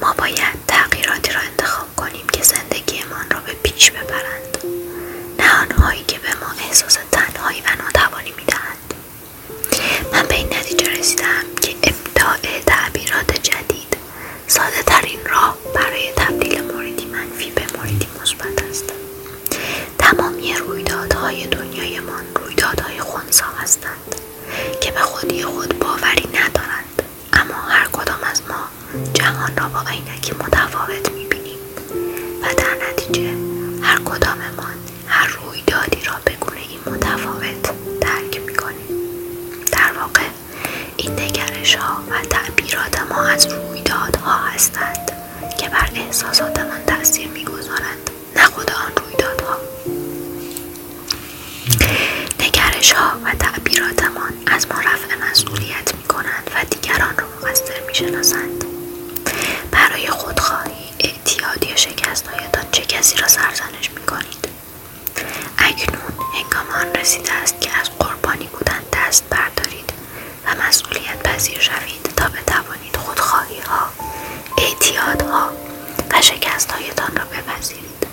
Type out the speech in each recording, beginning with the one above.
ما باید تغییراتی را انتخاب کنیم که زندگیمان را به پیچ ببرند نه آنهایی که به ما احساس تنهایی و ناتوانی میدهند من به این نتیجه رسیدم که ابداع تعبیرات جدید ساده راه برای تبدیل موردی منفی به موردی مثبت است تمامی رویدادهای دنیایمان رویدادهای خونسا هستند که به خودی خود باوری ندارند اما هر کدام از ما جهان را با عینکی متفاوت میبینیم و در نتیجه هر ما هر رویدادی را به این متفاوت درک میکنیم در واقع این نگرش ها و تعبیرات ما از رویدادها هستند که بر احساساتمان تاثیر میگذارند نخود آن رویدادها نگرش ها و تعبیراتمان از ما رفع مسئولیت می کنند و دیگران را مقصر می برای خودخواهی اعتیادی یا شکستهایتان چه کسی را سرزنش می کنید اکنون هنگام آن رسیده است که از قربانی بودن دست بردارید و مسئولیت پذیر شوید تا بتوانید خودخواهی ها ها و شکستهایتان را بپذیرید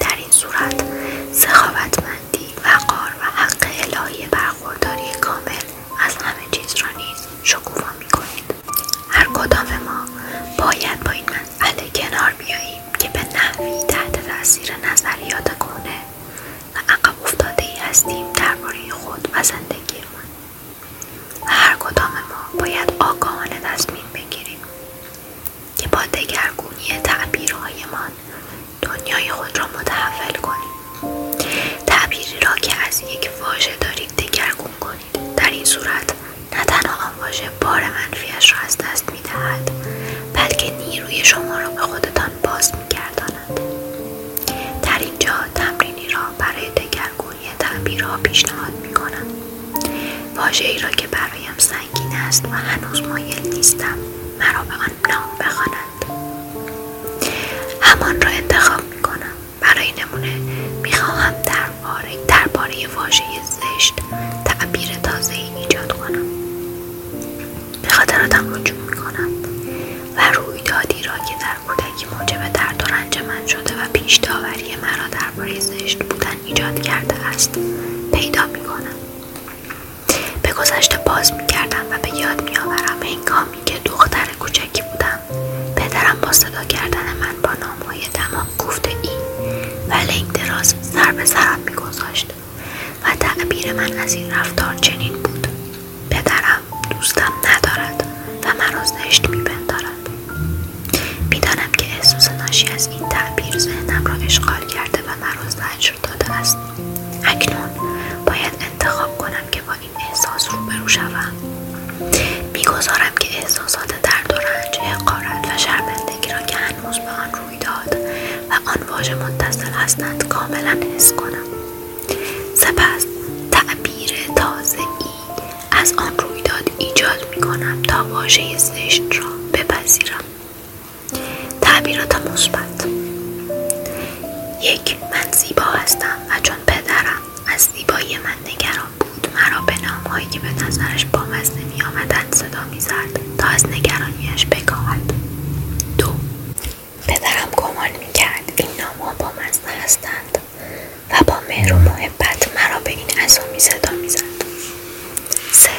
در این صورت سخاوتمندی قار و حق الهی برخورداری کامل از همه چیز را نیز شکوفا می کنید هر کدام ما باید با این مسئله کنار بیاییم که به نحوی تحت تاثیر نظریات کنه و عقب افتاده ای هستیم درباره خود و ما. و هر کدام ما باید آگاهانه تصمیم بگیریم که با دگرگونی تعبیرهایمان دنیای خود را متحول کنیم تعبیری را که از یک واژه دارید دگرگون کنید در این صورت نه تنها آن واژه بار منفیش را از دست میدهد بلکه نیروی شما را به خودتان باز میگرداند در اینجا تمرینی را برای تگرگونی تعبیر را پیشنهاد می کنم واجه ای را که برایم سنگین است و هنوز مایل نیستم مرا به آن نام بخوانند همان را انتخاب می کنم برای نمونه می خواهم درباره درباره واژه زشت تعبیر تازه ای ایجاد کنم به خاطراتم رجوع می کنم و رویدادی را که در کودکی موجب درد و رنج من شده و پیش داوری مرا درباره زشت بودن ایجاد کرده است پیدا می کنم به گذشته باز می و به یاد می آورم هنگامی که دختر کوچکی بودم پدرم با صدا کردن من با نامهای تمام گفته این و لنگ دراز سر به سرم می گذاشت و تعبیر من از این رفتار چنین بود پدرم دوستم ندارد و مرا زشت می بندارد میدانم که احساس ناشی از این تعبیر ذهنم را اشغال کرده و مرا زجر داده است اکنون باید انتخاب کنم که با این احساس روبرو شوم میگذارم که احساسات درد و رنج حقارت و شرمندگی را که هنوز به آن روی داد و آن واژه متصل هستند کاملا حس کنم سپس تعبیر تازه ای از آن رویداد ایجاد می کنم تا واژه زشت را بپذیرم تعبیرات مثبت یک من زیبا هستم و چون پدرم از زیبایی من نگران بود مرا به نامهایی که به نظرش با می آمدند صدا میزد تا از نگرانیش بکاهد دو پدرم گمان می کرد این نامها مزنه هستند و با مهر و محبت مرا به این اسامی صدا میزد سه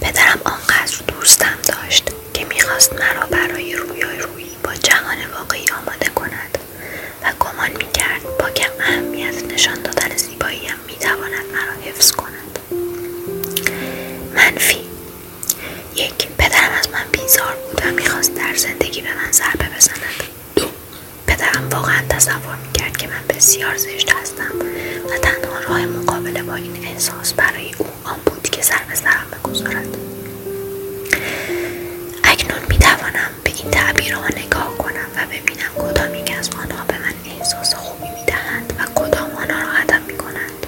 پدرم آنقدر دوستم داشت که میخواست مرا برای رویای رویی با جهان واقعی آماده کند و گمان میکرد با کم اهمیت نشان دادن زیباییم میتواند مرا حفظ کند منفی یک پدرم از من بیزار بود و میخواست در زندگی به من ضربه بزند پدرم واقعا تصور میکرد که من بسیار زشت هستم و تنها راه مقابله با این احساس برای او آن بود که سر به سرم بگذارد اکنون میتوانم به این تعبیرها نگاه کنم و ببینم کدام یک از آنها به من احساس خوبی میدهند و کدام آنها را عدم میکنند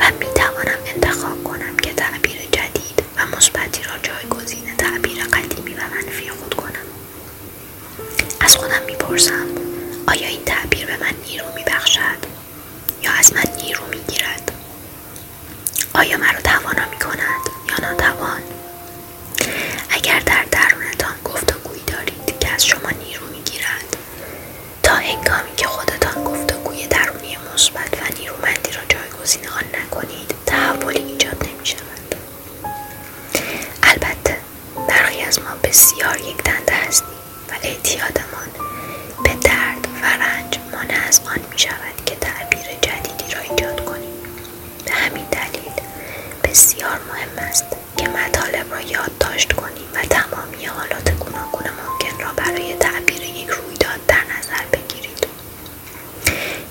و میتوانم انتخاب کنم که تعبیر جدید و مثبتی را جایگزین تعبیر قدیمی و منفی خود کنم از خودم میپرسم آیا این تعبیر به من نیرو میبخشد یا از من نیرو میگیرد آیا مرا توانا میکند یا ناتوان اگر در درونتان گفتگویی دارید که از شما نیرو میگیرد تا هنگامی که خودتان گفتگوی درونی مثبت و نیرومندی را جای جایگزین آن نکنید تحولی ایجاد نمی شود البته برخی از ما بسیار یک دنده هستیم و اعتیادمان به درد و رنج مانع از آن می شود که تعبیر جدیدی را ایجاد کنیم به همین دلیل بسیار مهم است که مطالب را یادداشت کنیم و تمامی حالات گوناگون ممکن را برای تعبیر یک رویداد در نظر بگیرید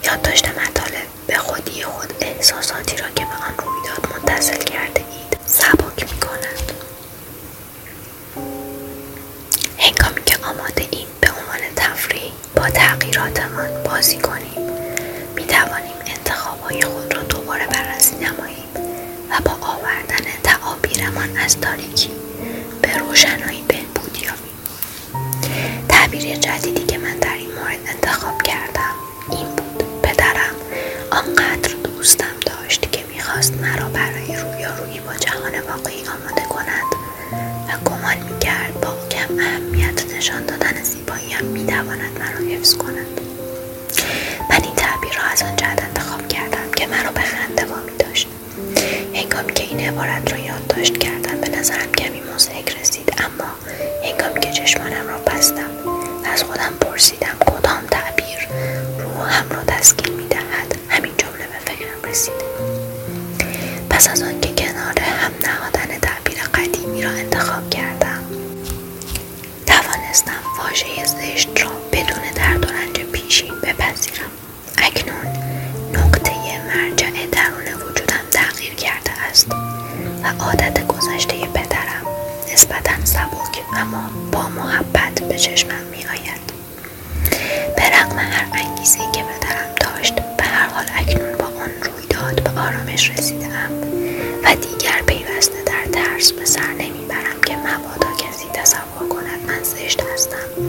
یادداشت مطالب به خودی خود احساساتی را که به آن رویداد منتصل کرده اید سبک می کند. هنگامی که آماده این به عنوان تفریح با تغییراتمان بازی کنیم می توانیم انتخابهای خود را دوباره بررسی نماییم و با آوردن تعابیرمان از تاریکی به روشنایی بهبود تعبیر جدیدی که من در این مورد انتخاب کردم این بود پدرم آنقدر دوستم داشت که میخواست مرا برای رویارویی با جهان واقعی آماده کند و گمان میکرد با کم اهمیت نشان دادن زیباییم میتواند مرا حفظ کند من این تعبیر را از آن جهت انتخاب کردم که مرا به خنده با داشت هنگامی که این عبارت را یادداشت کردم به نظرم کمی مزهک رسید اما هنگامی که چشمانم را بستم و از خودم پرسیدم کدام تعبیر هم را می میدهد همین جمله به فکرم رسید پس از آنکه کنار هم نهادن تعبیر قدیمی را انتخاب کردم توانستم واژه زشت را بدون درد و رنج پیشین بپذیرم اکنون نقطه مرجع درون وجودم تغییر کرده است و عادت گذشته پدرم نسبتا سبک اما با محبت به چشمم می آید به هر انگیزه که پدرم داشت به هر حال اکنون با آن رویداد به آرامش رسیدم و دیگر پیوسته در ترس به سر نمیبرم که مبادا کسی تصور کند من زشت هستم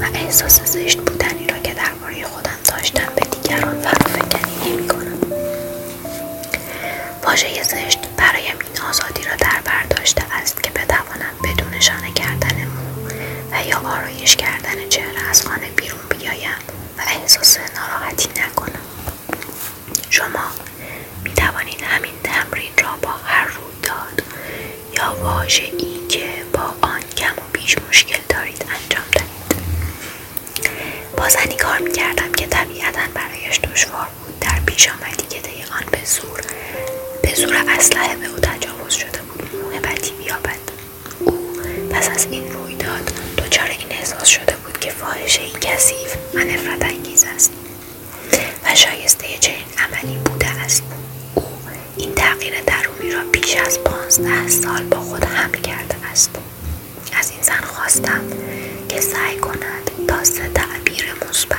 و احساس زشت بودنی را که در درباره خودم داشتم به دیگران فرافکنی نمی کنم واژه زشت برایم این آزادی را در داشته است که بتوانم بدون شانه کردن مو و یا آرایش کردن چهره از خانه بیرون بیایم و احساس ناراحتی نکنم شما می توانید همین تمرین را با هر رود داد یا واژه ای که با آن کم بیش مشکل دارید انجام دهید بازنی کار میکردم که طبیعتا برایش دشوار بود در پیش آمدی که طی آن به زور به به او تجاوز شده بود موهبتی بیابد او پس از این رویداد دچار این احساس شده بود که فاحشه ای کثیف و انگیز است و شایسته چنین عملی بوده است او این تغییر درونی را بیش از پانزده سال با خود حمل کرده است از این زن خواستم که سعی کند تا سه تعبیر مثبت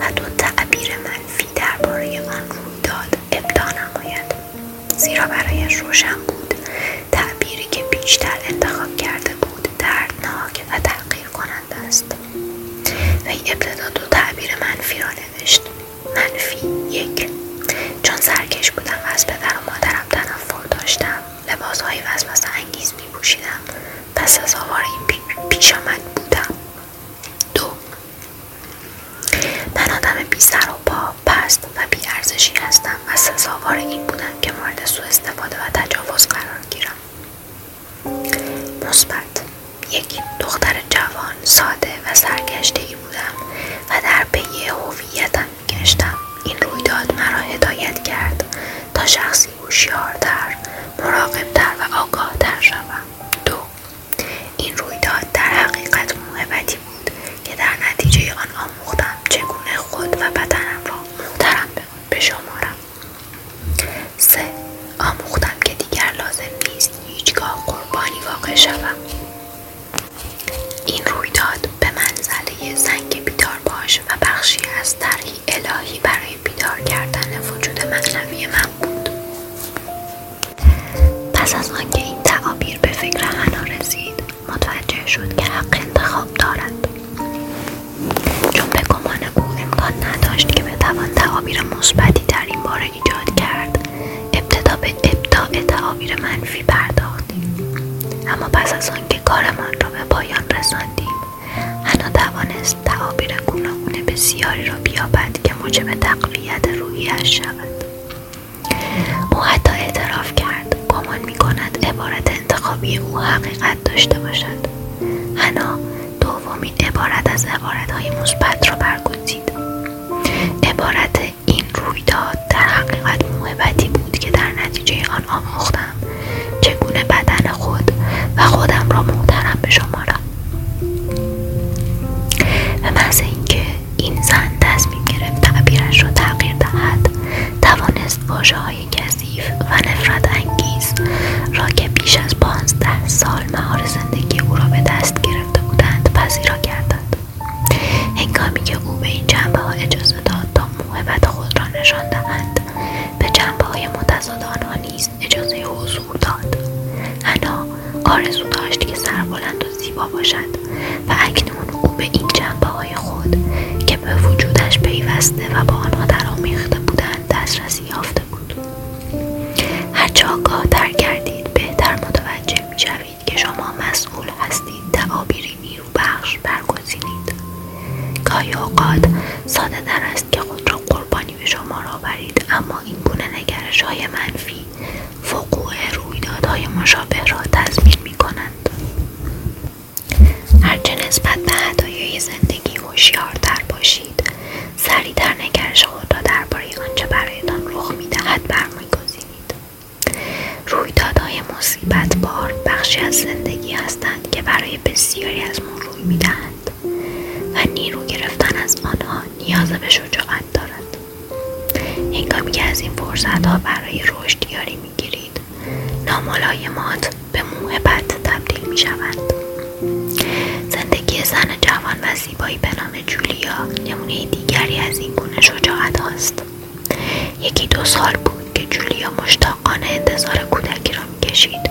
و دو تعبیر منفی درباره آن رویداد ابدا نماید زیرا برایش روشن بود تعبیری که بیشتر انتخاب کرده بود دردناک و تغییر کننده است این ابتدا دو تعبیر منفی را نوشت منفی یک چون سرکش بودم و از پدر و مادرم تنفر داشتم لباسهایی وسوسه انگیز می پس از آوار این پیش بودم دو من آدم بی سر و پا پست و بی ارزشی هستم و سزاوار این بودم که مورد سوء استفاده و تجاوز قرار گیرم مثبت یکی دختر جوان ساده و سرگشته بودم و در پی هویتم گشتم این رویداد مرا هدایت کرد تا شخصی هوشیارتر مراقبتر و آگاهتر شوم دو این رویداد در حقیقت موهبتی بود که در نتیجه آن آموختم چگونه خود و بدنم را محترم بشمارم سه آموختم که دیگر لازم نیست هیچگاه قربانی واقع شوم این رویداد به منزله زنگ بیدار باش و بخشی از طرحی الهی برای بیدار کردن وجود معنوی من بود پس از آنکه این تعابیر به فکر حنا رسید متوجه شد که حق انتخاب دارد چون به گمان او امکان نداشت که بتوان تعابیر مثبتی در این باره ایجاد کرد ابتدا به ابداع تعابیر منفی پرداختیم اما پس از آنکه کارمان را به پایان رساندیم حنا توانست تعابیر گوناگون بسیاری را بیابد که موجب تقویت اش شود او حتی اعتراف کرد گمان میکند عبارت انتخابی او حقیقت داشته باشد حنا دومین عبارت از عبارتهای مثبت را برگزید عبارت این رویداد در حقیقت موهبتی بود که در نتیجه آن آموختم چگونه بدن خود و خودم را محترم بشمارم و محض اینکه این زن تصمیم گرفت تعبیرش را تغییر دهد توانست واژه های کثیف و نفرت انگیز را که بیش از پانزده سال حال مهار زندگی او را به دست گرفته بودند پذیرا کردند هنگامی که او به این جنبه ها اجازه داد تا موهبت خود را نشان دهند به جنبه های متضاد آنها نیز اجازه حضور داد حنا آرزو داشت که سربلند و زیبا باشد و اکنون او به این جنبه های خود که به وجودش پیوسته و با آنها درآمیخته بودند دسترسی یافته هرچه بود هرچه کردید، کردید بهتر متوجه میشوید که شما مسئول هستید تعابیری نیرو بخش برگزینید گاهی اوقات ساده درست است که خود را قربانی به شما را برید، اما این گونه نگرش های منفی وقوع رویدادهای مشابه را تضمین می کنند هرچه نسبت به هدایای زندگی هوشیارتر باشید سریعتر نگرش خود را درباره آنچه برایتان رخ میدهد برمیگزینید رویدادهای مصیبت بار بخشی از زندگی هستند که برای بسیاری از ما روی میدهند و نیرو گرفتن از آنها نیاز به شجاعت دارد هنگامی که از این ها برای رشد یاری میگیرید ناملایمات به موهبت تبدیل می میشوند زندگی زن جوان و زیبایی به نام جولیا نمونه دیگری از این گونه شجاعت هاست یکی دو سال بود که جولیا مشتاقانه انتظار کودکی را میکشید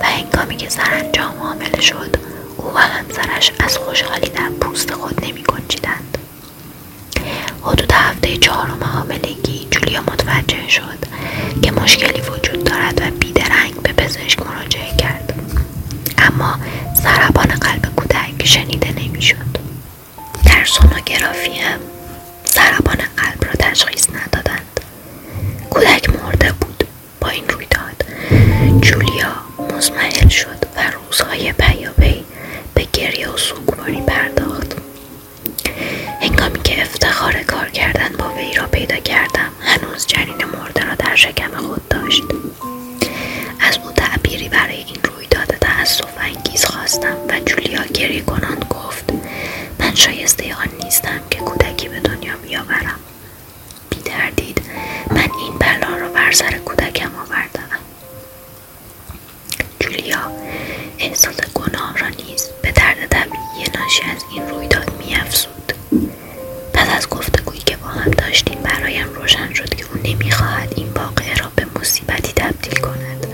و هنگامی که انجام حامل شد او و همسرش از خوشحالی در پوست خود نمی حدود هفته چهارم حاملگی جولیا متوجه شد که مشکلی وجود دارد و بیدرنگ به پزشک مراجعه کرد اما ضربان قلب کودک شنیده نمیشد در سونوگرافی هم قلب را تشخیص ندادند کودک مرده بود با این رویداد جولیا مزمحل شد و روزهای پیاپی به گریه و سوگواری پرداخت هنگامی که افتخار کار کردن با وی را پیدا کردم هنوز جنین مرده را در شکم خود داشت از او تعبیری برای این رویداد تاسف انگیز خواستم و جولیا گری کنان گفت من شایسته آن نیستم که کودکی به دنیا بیاورم بیتردید من این بلا را بر سر کودکم آوردم جولیا احساس گناه را نیز به درد طبیعی ناشی از این رویداد میافزود پس از گفتگویی که با هم داشتیم برایم روشن شد که او نمیخواهد این واقعه را به مصیبتی تبدیل کند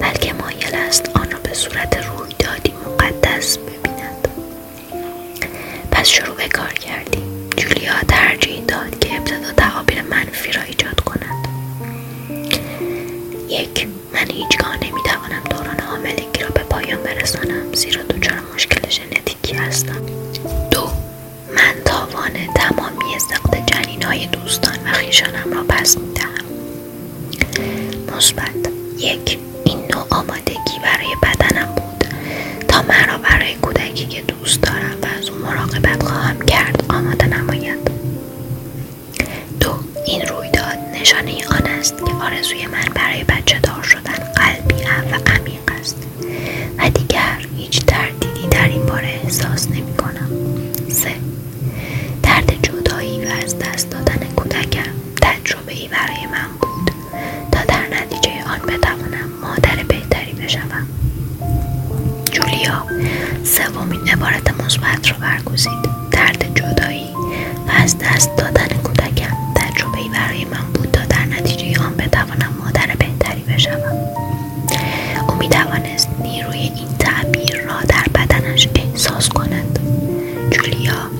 بلکه مایل است آن را به صورت رویدادی مقدس ببیند پس شروع به کار کردیم جولیا ترجیح داد که ابتدا تعابیر منفی را ایجاد کند یک من هیچگاه نمیتوانم دوران حاملگی را به پایان برسانم زیرا دوچار مشکل ژنتیکی ژنتیکی هستم دو من تاوان تمامی سقط جنین های دوستان و خیشانم را پس دهم. مثبت یک این نوع آمادگی برای بدنم بود تا من را برای کودکی که دوست دارم و از اون مراقبت خواهم کرد آماده نماید دو این رویداد نشانه آن است که آرزوی من برای بچه دار قلبی و عمیق است و دیگر هیچ تردیدی در این باره احساس نمی کنم سه درد جدایی و از دست دادن کودکم تجربه ای برای من بود تا در نتیجه آن بتوانم مادر بهتری بشوم جولیا سومین عبارت مثبت را برگزید درد جدایی و از دست دادن کودکم تجربهای برای من بود تا در نتیجه آن بتوانم مادر بهتری بشوم او میتوانست نیروی این تعبیر را در بدنش احساس کند جولیا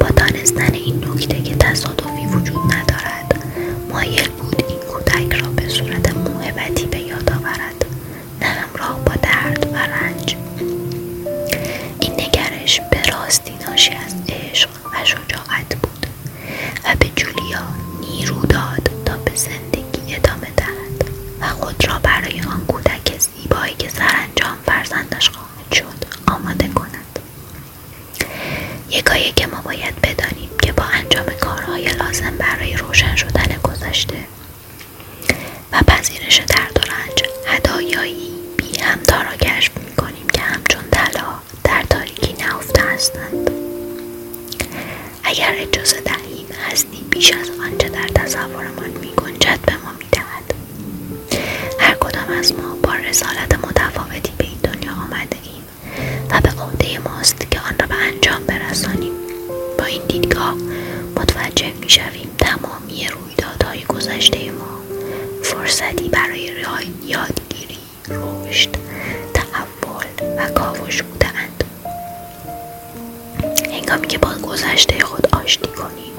با دانستن این نکته که تصادفی وجود ندارد مایل بود این کودک را به صورت موهبتی به یاد آورد نه همراه با درد و رنج این نگرش به راستی ناشی از عشق و شجاعت بود و به جولیا نیرو داد تا به زندگی ادامه دهد و خود را برای آن کودک زیبایی که سرانجام فرزندش خواهد شد آماده کند یکایی که ما باید بدانیم که با انجام کارهای لازم برای روشن شدن گذشته و پذیرش درد و رنج هدایایی بی همتا را کشف می که همچون طلا در تاریکی نهفته هستند اگر اجازه دهیم هستیم بیش از آنچه در تصورمان میگنجد به ما میدهد هر کدام از ما با رسالت متفاوتی به این دنیا آمده و به عهده ماست که آن را به انجام برسانیم با این دیدگاه متوجه میشویم تمامی رو رویدادهای گذشته ما فرصتی برای یادگیری رشد تحول و کاوش بودند هنگامی که با گذشته خود آشتی کنیم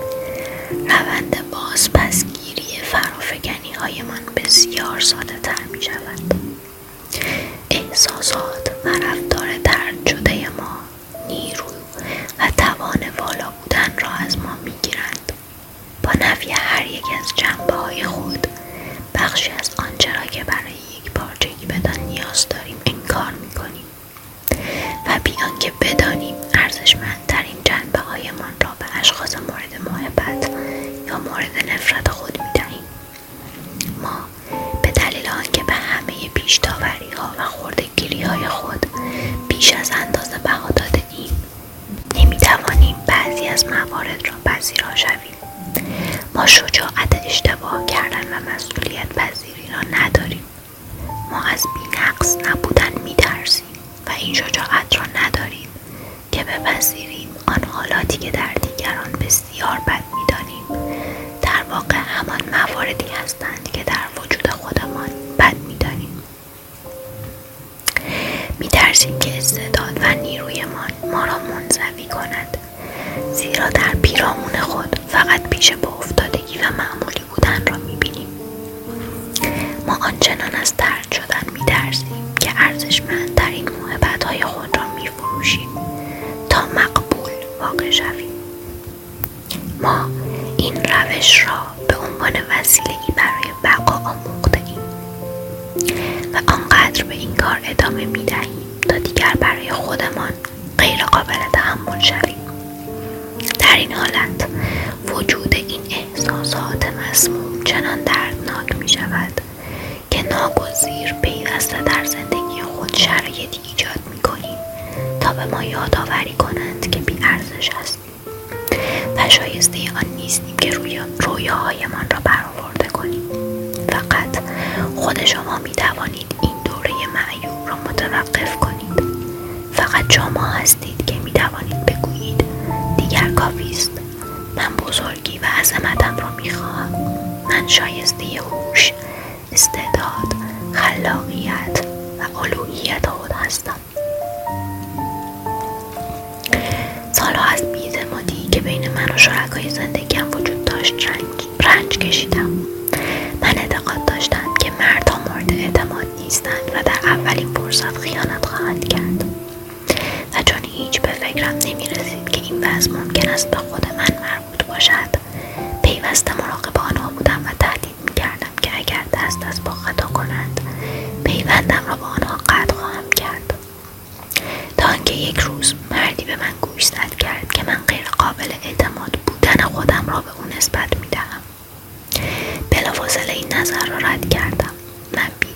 روند باز پسگیری هایمان بسیار ساده تر می شود احساسات و رفتار درد شده ما نیرو و توان والا بودن را از ما می با نفی هر یک از جنبه های خود بخشی از آنچه را که برای یک پارچگی بدن نیاز داریم انکار میکنیم و بیان که بدانیم ارزشمندترین جنبه هایمان را به اشخاص مورد محبت یا مورد نفرت خود می دهیم ما به دلیل آنکه به همه پیشتاوری ها و خوردگیری های خود بیش از اندازه بها داده نمیتوانیم بعضی از موارد را پذیرا شویم ما شجاعت اشتباه کردن و مسئولیت پذیری را نداریم ما از بینقص نبودن میترسیم و این شجاعت را نداریم که بپذیریم آن حالاتی که در دیگران بسیار بد میدانیم در واقع همان مواردی هستند که در وجود خودمان بد میدانیم میترسیم که استعداد و نیرویمان ما را منزوی کند زیرا در پیرامون خود فقط پیش با افتادگی و معمولی بودن را میبینیم ما آنچنان از ترد شدن میترسیم که ارزشمندترین های خود را میفروشیم تا مقبول واقع شویم ما این روش را به عنوان وسیله ای برای بقا آموخته و آنقدر به این کار ادامه می دهیم تا دیگر برای خودمان غیر قابل تحمل شویم در این حالت وجود این احساسات مسموم چنان دردناک می شود که ناگزیر پیوسته در زندگی خود شرایطی ایجاد می کنیم تا به ما یادآوری کنند که بی ارزش هستیم و شایسته آن نیستیم که روی من را برآورده کنیم فقط خود شما می توانید این دوره معیوب را متوقف کنید فقط شما هستید که می توانید بگویید دیگر کافی است من بزرگی و عظمتم را می خواهم من شایسته هوش استعداد خلاقیت و الوهیت خود هستم سالها از بیاعتمادی که بین من و شرکای هم وجود داشت رنج, رنج کشیدم من اعتقاد داشتم که مردم مورد اعتماد نیستند و در اولین فرصت خیانت خواهند کرد و چون هیچ به فکرم نمی که این وضع ممکن است به خود من مربوط باشد پیوسته مراقب آنها بودم و تهدید فکر کردم که اگر دست از با خطا کنند پیوندم را با آنها قطع خواهم کرد تا اینکه یک روز مردی به من گوش زد کرد که من غیر قابل اعتماد بودن خودم را به او نسبت دهم. بلافاصله این نظر را رد کردم من بی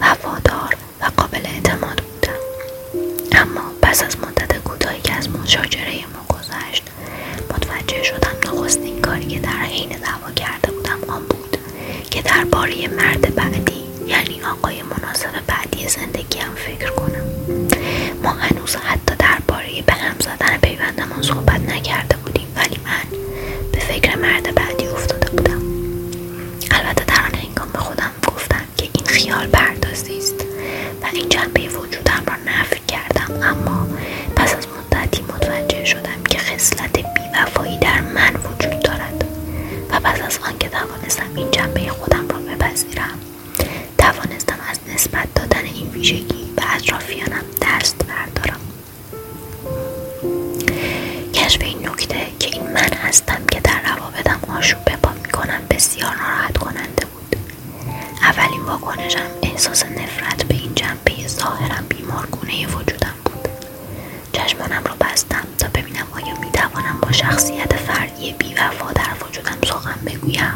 و وفادار و قابل اعتماد بودم اما پس از مدت کوتاهی که از مشاجره ما گذشت داشت متوجه شدم نخستین کاری که در حین دعوا کرده بودم آن بود که درباره مرد بعدی یعنی آقای مناسب بعدی زندگی زندگیم فکر کنم ما هنوز حتی درباره به هم زدن پیوندمان صحبت نکرده بودیم ولی من به فکر مرد بعدی افتاده بودم البته در آن هنگام به خودم گفتم که این خیال پردازی است و این جنبه وجودم را نفی کردم اما پس از مدتی متوجه شدم که خصلت بیوفایی در من وجود دارد و پس از آنکه توانستم این جنبه خودم را بپذیرم توانستم از نسبت دادن این ویژگی به اطرافیانم دست بردارم کشف این نکته که این من هستم که در روابطم آشوب به پا میکنم بسیار ناراحت کننده بود اولین واکنشم احساس نفرت به این جنبه ظاهرا بیمارگونه وجودم بود چشمانم را بستم تا ببینم آیا میتوانم با شخصیت فردی بیوفا در وجودم سخن بگویم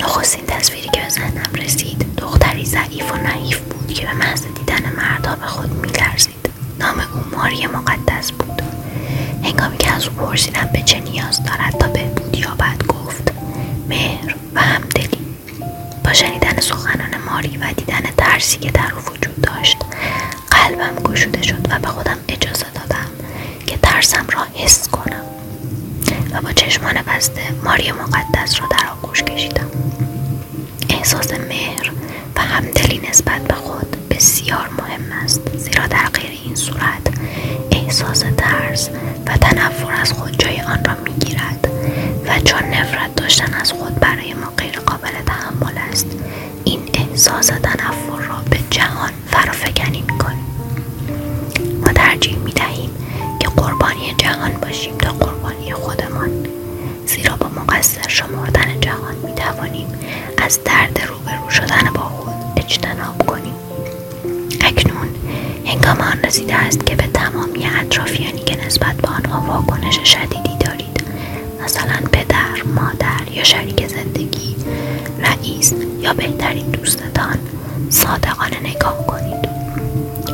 نخستین تصویری که به ذهنم رسید دختری ضعیف و نعیف بود که به محض دیدن مردا به خود میلرزید نام او ماری مقدس بود هنگامی که از او پرسیدم به چه نیاز دارد تا به یا بعد گفت مهر و همدلی با شنیدن سخنان ماری و دیدن ترسی که در او وجود داشت قلبم گشوده شد و به خودم اجازه دادم که ترسم را حس کنم و با چشمان بسته ماری مقدس را در آغوش کشیدم احساس مهر و همدلی نسبت به خود بسیار مهم است زیرا در غیر این صورت احساس ترس و تنفر از خود جای آن را گیرد و چون نفرت داشتن از خود برای ما غیر قابل تحمل است این احساس تنفر را به جهان فرافکنی کنیم ما ترجیح دهیم که قربانی جهان باشیم تا قربانی خودمان زیرا با مقصر شمردن جهان میتوانیم از درد روبرو شدن با خود اجتناب کنیم اکنون هنگام آن رسیده است که به تمامی اطرافیانی که نسبت به آنها واکنش شدیدی دارید مثلا پدر مادر یا شریک زندگی رئیس یا بهترین دوستتان صادقانه نگاه کنید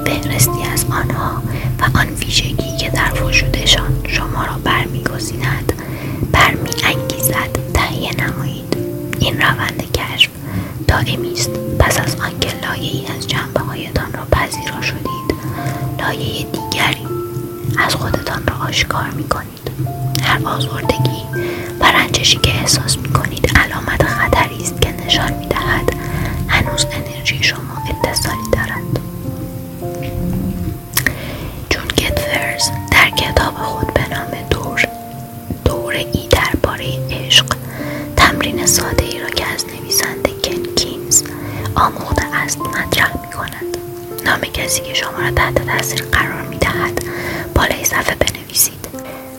فهرستی از آنها و آن ویژگی که در وجودشان شما را برمیگزیند برمیانگیزد تهیه نمایید این روند کشف خشم میست پس از آنکه ای از جنبه هایتان را پذیرا شدید لایه دیگری از خودتان را آشکار می کنید هر آزردگی و رنجشی که احساس می کنید علامت خطری است که نشان می دهد هنوز انرژی شما اتصالی دارد جون فرز در کتاب خود به نام دور دوره ای درباره عشق تمرین ساده ای را که از نویسنده کن کینز آموخته است مطرح می کند نام کسی که شما را تحت تاثیر قرار می دهد بالای صفحه بنویسید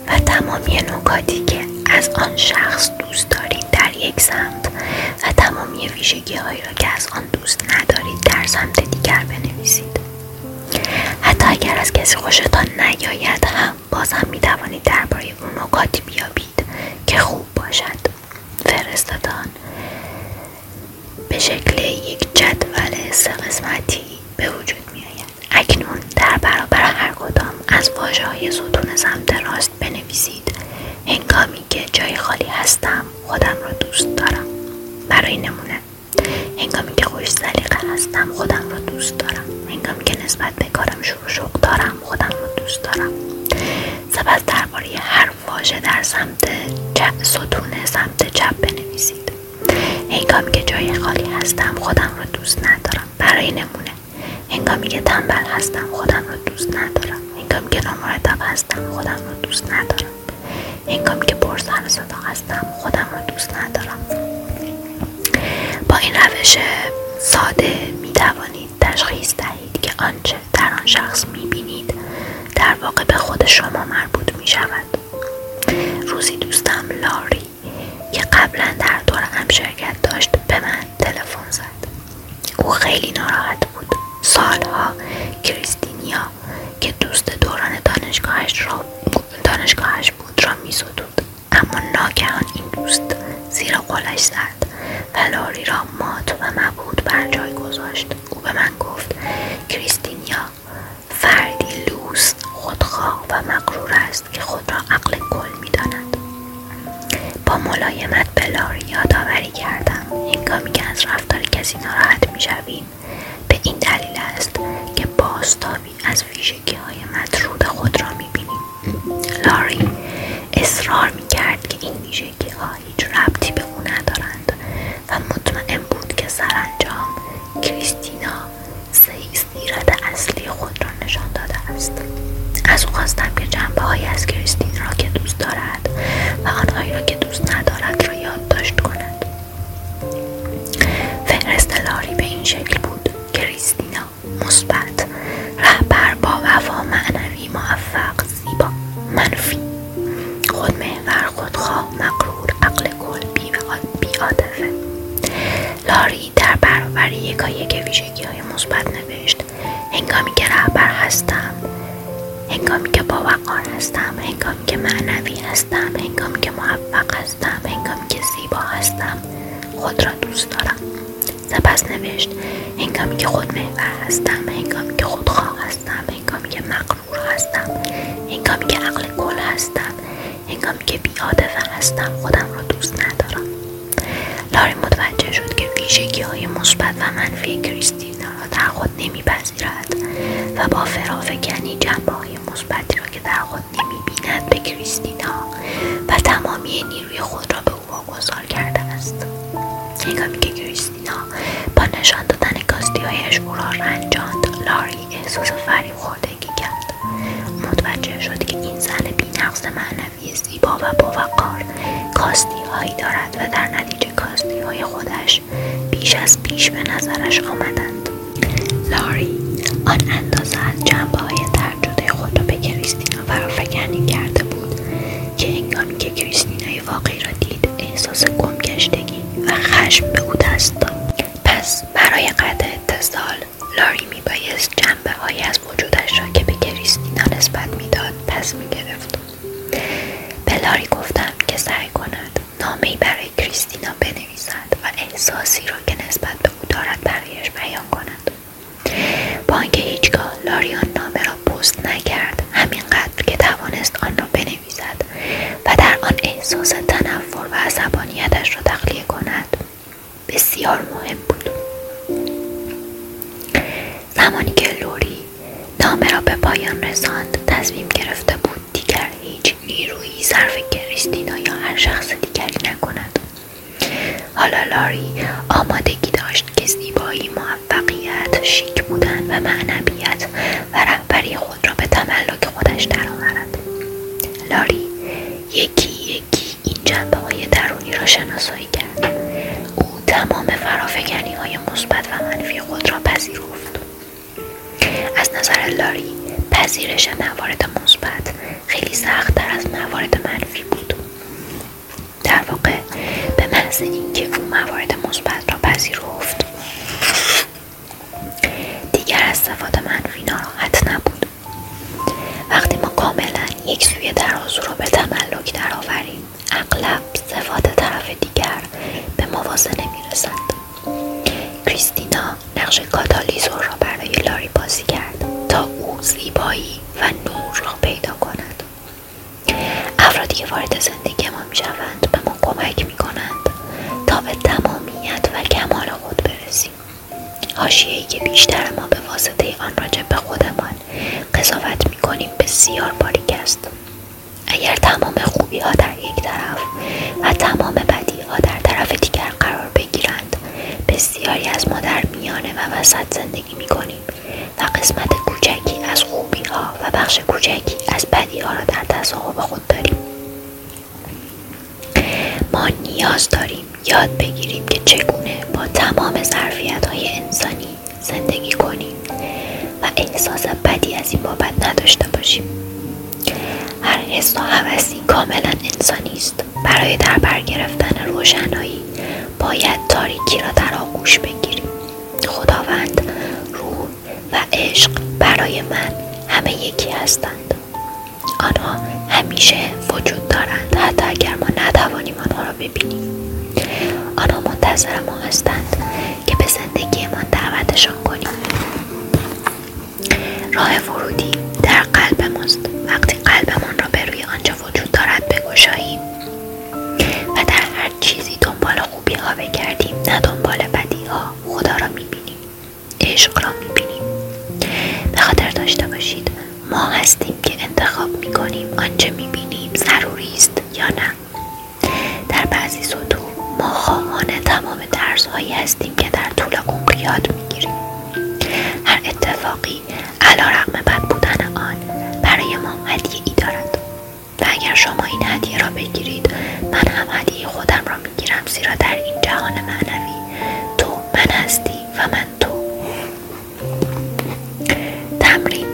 و تمامی نکاتی که از آن شخص دوست دارید در یک سمت و تمامی ویژگی هایی را که از آن دوست ندارید در سمت دیگر بنویسید حتی اگر از کسی خوشتان نیاید هم باز هم می توانید درباره اون نکاتی بیابید که خوب باشد فرستادان به شکل یک جدول سه قسمتی به وجود می آید اکنون در برابر هر کدام از واجه های ستون سمت راست بنویسید هنگامی که جای خالی هستم خودم را دوست دارم برای نمونه هنگامی که خوش سلیقه هستم خودم رو دوست دارم هنگامی که نسبت به کارم شروع شوق دارم خودم رو دوست دارم سپس درباره هر واژه در سمت ستون سمت چپ بنویسید هنگامی که جای خالی هستم خودم رو دوست ندارم برای نمونه هنگامی که تنبل هستم خودم رو دوست ندارم هنگامی که نامرتب هستم خودم رو دوست ندارم هنگامی که پرسر هستم خودم رو دوست ندارم با این روش ساده می توانید تشخیص دهید که آنچه در آن شخص می بینید در واقع به خود شما مربوط می شود روزی دوستم لاری که قبلا در دور هم شرکت داشت به من تلفن زد او خیلی ناراحت بود سالها کریستینیا که دوست دوران دانشگاهش, رو دانشگاهش بود را می اما ناگهان این دوست زیرا قلش زد و لاری را مات و مبود بر جای گذاشت او به من گفت کریستینیا فردی لوس خودخواه و مقرور است که خود را عقل کل می داند. با ملایمت به لاری یادآوری کردم هنگامی که از رفتار کسی ناراحت شویم به این دلیل است که باستابی از ویژگی های مطروب خود را میبینیم لاری اصرار میکرد که این ویژگی ها هیچ ربطی به او ندارند و مطمئن بود که سرانجام کریستینا سیرت اصلی خود را نشان داده است از او خواستم که جنبه از کریستین را که دوست دارد و آنهایی را که دوست ندارد را یادداشت کند فهرست لاری به این شکل بود کریستینا مثبت رهبر با وفا معنوی موفق زیبا منفی خودمحور خودخواه مقرور عقل گل بیعاطفه لاری در برابر یکایک ویژگی های مثبت نوشت هنگامی که رهبر هستم هنگامی که باوقار هستم هنگامی که معنوی هستم هنگامی که موفق هستم هنگامی که زیبا هستم خود را دوست دارم سپس نوشت هنگامی که خود محور هستم هنگامی که خودخواه هستم هنگامی که مغرور هستم هنگامی که عقل گل هستم هنگامی که بیعاطفه هستم خودم را دوست ندارم لاری متوجه شد که ویژگی های مثبت و منفی کریستینا را در خود نمیپذیرد و با فرافکنی جنبه های مثبت را که در خود بیند به کریستینا و تمامی نیروی خود را به او واگذار کرده است هنگامی که کریستینا با نشان دادن کاستیهایش او را رنجاند لاری احساس فریب خوردگی کرد متوجه شد که این زن بینقص معنوی زیبا و باوقار کاستیهایی دارد و در نتیجه کاستیهای خودش بیش از پیش به نظرش آمدند لاری آن اندازه از جنبه های ترجده خود را به کریستینا فرافکنی کرده بود که انگامی که کریستینای واقعی را دید احساس گمگشتگی و خشم به او دست داد پس برای قطع اتصال لاری میبایست جنبه های از وجودش را که به کریستینا نسبت میداد پس میگرفت به لاری گفتم که سعی کند نامهای برای کریستینا بنویسد و احساسی را که نسبت به او دارد برایش بیان کند با اینکه هیچگاه لاریان نامه را پست نکرد همینقدر که توانست آن را بنویسد و در آن احساس تنفر و عصبانیتش را تخلیه کند بسیار مهم بود زمانی که لوری نامه را به پایان رساند تصمیم گرفته بود دیگر هیچ نیرویی صرف کریستینا یا هر شخص دیگری نکند حالا لاری آمادگی داشت که زیبایی موفقیت شیک بودن و معنویت و رهبری خود را به تملک خودش درآورد لاری یکی یکی این جنبه های درونی را شناسایی کرد او تمام فرافکنی های مثبت و منفی خود را پذیرفت از نظر لاری پذیرش موارد مثبت خیلی سختتر از موارد منفی بود در واقع به محض اینکه او موارد مثبت را پذیرفت دیگر از صفات منفی ناراحت نبود وقتی ما کاملا یک سوی ترازو را به تملک درآوریم اغلب صفات طرف دیگر به موازنه میرسند کریستینا نقش کاتالیزور را برای لاری بازی کرد تا او زیبایی و نور را پیدا کند افرادی که وارد زندگی ما میشوند به ما کمک میکنند تا به تمامیت و کمال خود برسیم حاشیهای که بیشتر ما به واسطه آن راجب به خودمان قضاوت میکنیم بسیار باریک است اگر تمام خوبی ها در یک طرف و تمام بدی ها در طرف دیگر قرار بگیرند بسیاری از ما در میانه و وسط زندگی می کنیم و قسمت کوچکی از خوبی ها و بخش کوچکی از بدی ها را در تصاحب خود داریم ما نیاز داریم یاد بگیریم که چگونه با تمام ظرفیت های انسانی زندگی کنیم و احساس بدی از این بابت نداشته باشیم هر حس و حوثی کاملا انسانی است برای در بر گرفتن روشنایی باید تاریکی را در آغوش بگیریم خداوند روح و عشق برای من همه یکی هستند آنها همیشه وجود دارند حتی اگر ما نتوانیم آنها را ببینیم آنها منتظر ما هستند که به زندگیمان دعوتشان کنیم راه ورودی در قلب ماست وقتی قلبمان را به روی آنچه وجود دارد بگشاییم و در هر چیزی دنبال خوبی ها بگردیم نه دنبال بدی ها خدا را میبینیم عشق را میبینیم به خاطر داشته باشید ما هستیم که انتخاب میکنیم آنچه میبینیم ضروری است یا نه در بعضی سطوح ما خواهان تمام درسهایی هستیم که در طول عمر یاد میگیریم هر اتفاقی علا رقم بد بودن آن برای ما هدیه ای دارد و اگر شما این هدیه را بگیرید من هم هدیه خودم را میگیرم زیرا در این جهان معنوی تو من هستی و من تو تمرین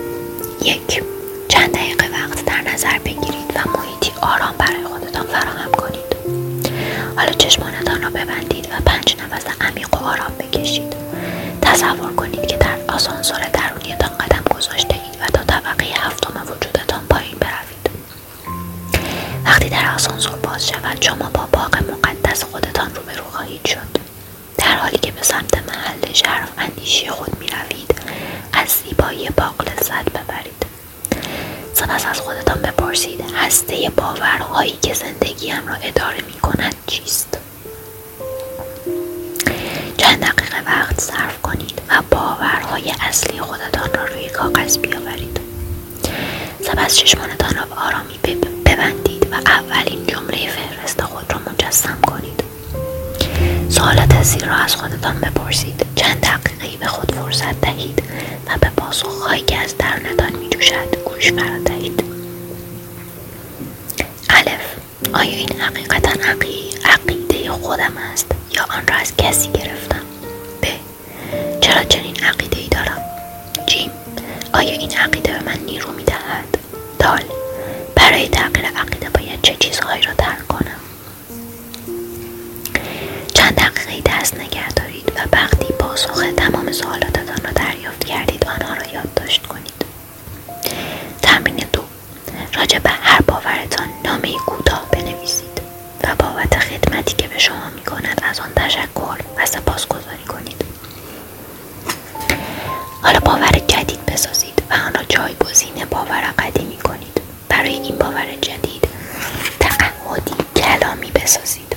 یک چند دقیقه وقت در نظر بگیرید و محیطی آرام برای خودتان فراهم کنید حالا چشمانتان را ببندید و پنج نفس عمیق و آرام بکشید تصور کنید که در آسانسور درونیتان قدم گذاشته اید و تا طبقه هفتم وجودتان پایین بروید وقتی در آسانسور باز شود شما با باغ مقدس خودتان روبرو خواهید شد در حالی که به سمت محل شرف اندیشی خود می روید از زیبایی باغ لذت ببرید سپس از خودتان بپرسید هسته باورهایی که هم را اداره می کند چیست؟ چند دقیقه وقت صرف کنید و باورهای اصلی خودتان را روی کاغذ بیاورید. سپس چشمانتان را به آرامی ببندید و اولین جمله فهرست خود را مجسم کنید. از زیر را از خودتان بپرسید. چند دقیقه به خود فرصت دهید و به پاسخهایی که از درونتان می میجوشد گوش دهید الف آیا این حقیقتا عقیده خودم است یا آن را از کسی گرفتم ب چرا چنین عقیده ای دارم جیم آیا این عقیده به من نیرو میدهد؟ دال برای تغییر عقیده باید چه چیزهایی را ترک کنم چند دقیقه دست نگه دارید و وقتی پاسخ تمام سوالاتتان را دریافت کردید آنها را یادداشت کنید تمرین دو راجع به هر باورتان نامه کوتاه بنویسید و بابت خدمتی که به شما می کند از آن تشکر و سپاسگزاری کنید حالا باور جدید بسازید و آن را جایگزین باور قدیمی کنید برای این باور جدید تعهدی کلامی بسازید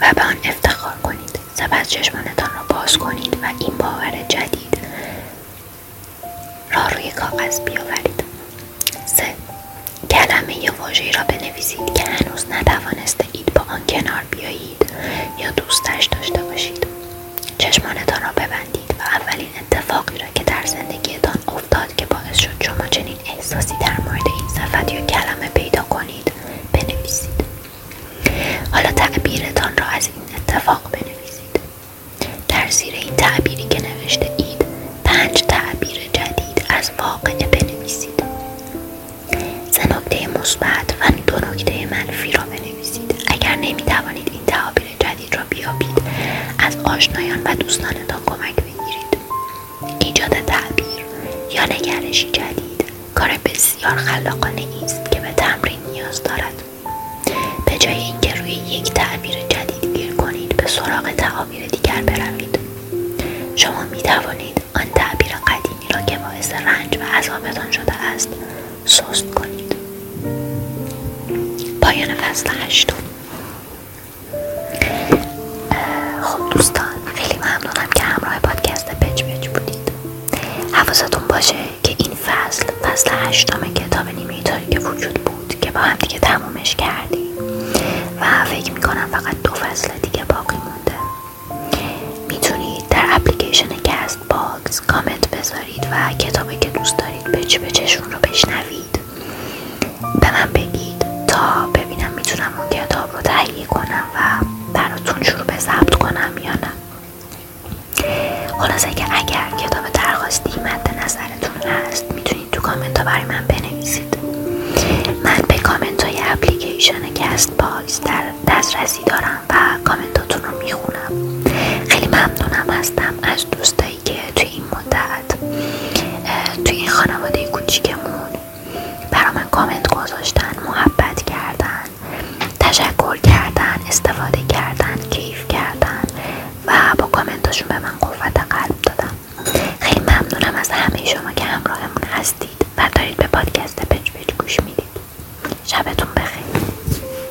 و به آن افتخار کنید سپس چشمانتان را باز کنید و این باور جدید را روی کاغذ بیاورید سه کلمه یا واژهای را بنویسید که هنوز نتوانسته اید با آن کنار بیایید یا دوستش داشته باشید چشمانتان را ببندید و اولین اتفاقی را که در زندگیتان افتاد که باعث شد شما چنین احساسی در مورد این صفت یا کلمه پیدا کنید بنویسید حالا تعبیرتان را از این اتفاق بنویسید در زیر این تعبیری که نوشته اید پنج تعبیر جدید از واقعه بنویسید سه نکته مثبت و دو نکته منفی را بنویسید اگر نمی توانید این را جدید را بیابید از آشنایان و دوستانتان کمک بگیرید ایجاد تعبیر یا نگرشی جدید کار بسیار خلاقانه است که به تمرین نیاز دارد به جای اینکه روی یک تعبیر جدید گیر کنید به سراغ تعابیر دیگر بروید شما می توانید آن تعبیر قدیمی را که باعث رنج و عذابتان شده است سست کنید پایان فصل هشتم خب دوستان خیلی ممنونم که همراه پادکست پچ پچ بودید حوازتون باشه که این فصل فصل هشتم کتاب نیمه تاریک که وجود بود که با هم دیگه تمومش کردیم و فکر میکنم فقط دو فصل دیگه باقی مونده میتونید در اپلیکیشن کست کامنت بذارید و کتابی که دوست دارید به چشون رو بشنوید به من بگید تا ببینم میتونم اون کتاب رو تهیه کنم و براتون شروع به ضبط کنم یا نه خلاصه که اگر کتاب درخواستی مد نظرتون هست میتونید تو کامنت ها برای من بنویسید من به کامنت های اپلیکیشن کست باکس در دسترسی دارم و هاتون رو می خیلی ممنونم هستم از دوستایی که توی این مدت توی این خانواده کوچیکمون برا من کامنت گذاشتن محبت کردن تشکر کردن استفاده کردن کیف کردن و با کامنتاشون به من قوت قلب دادم خیلی ممنونم از همه شما که همراهمون هستید و دارید به پادکست پچ پچ گوش میدید شبتون بخیر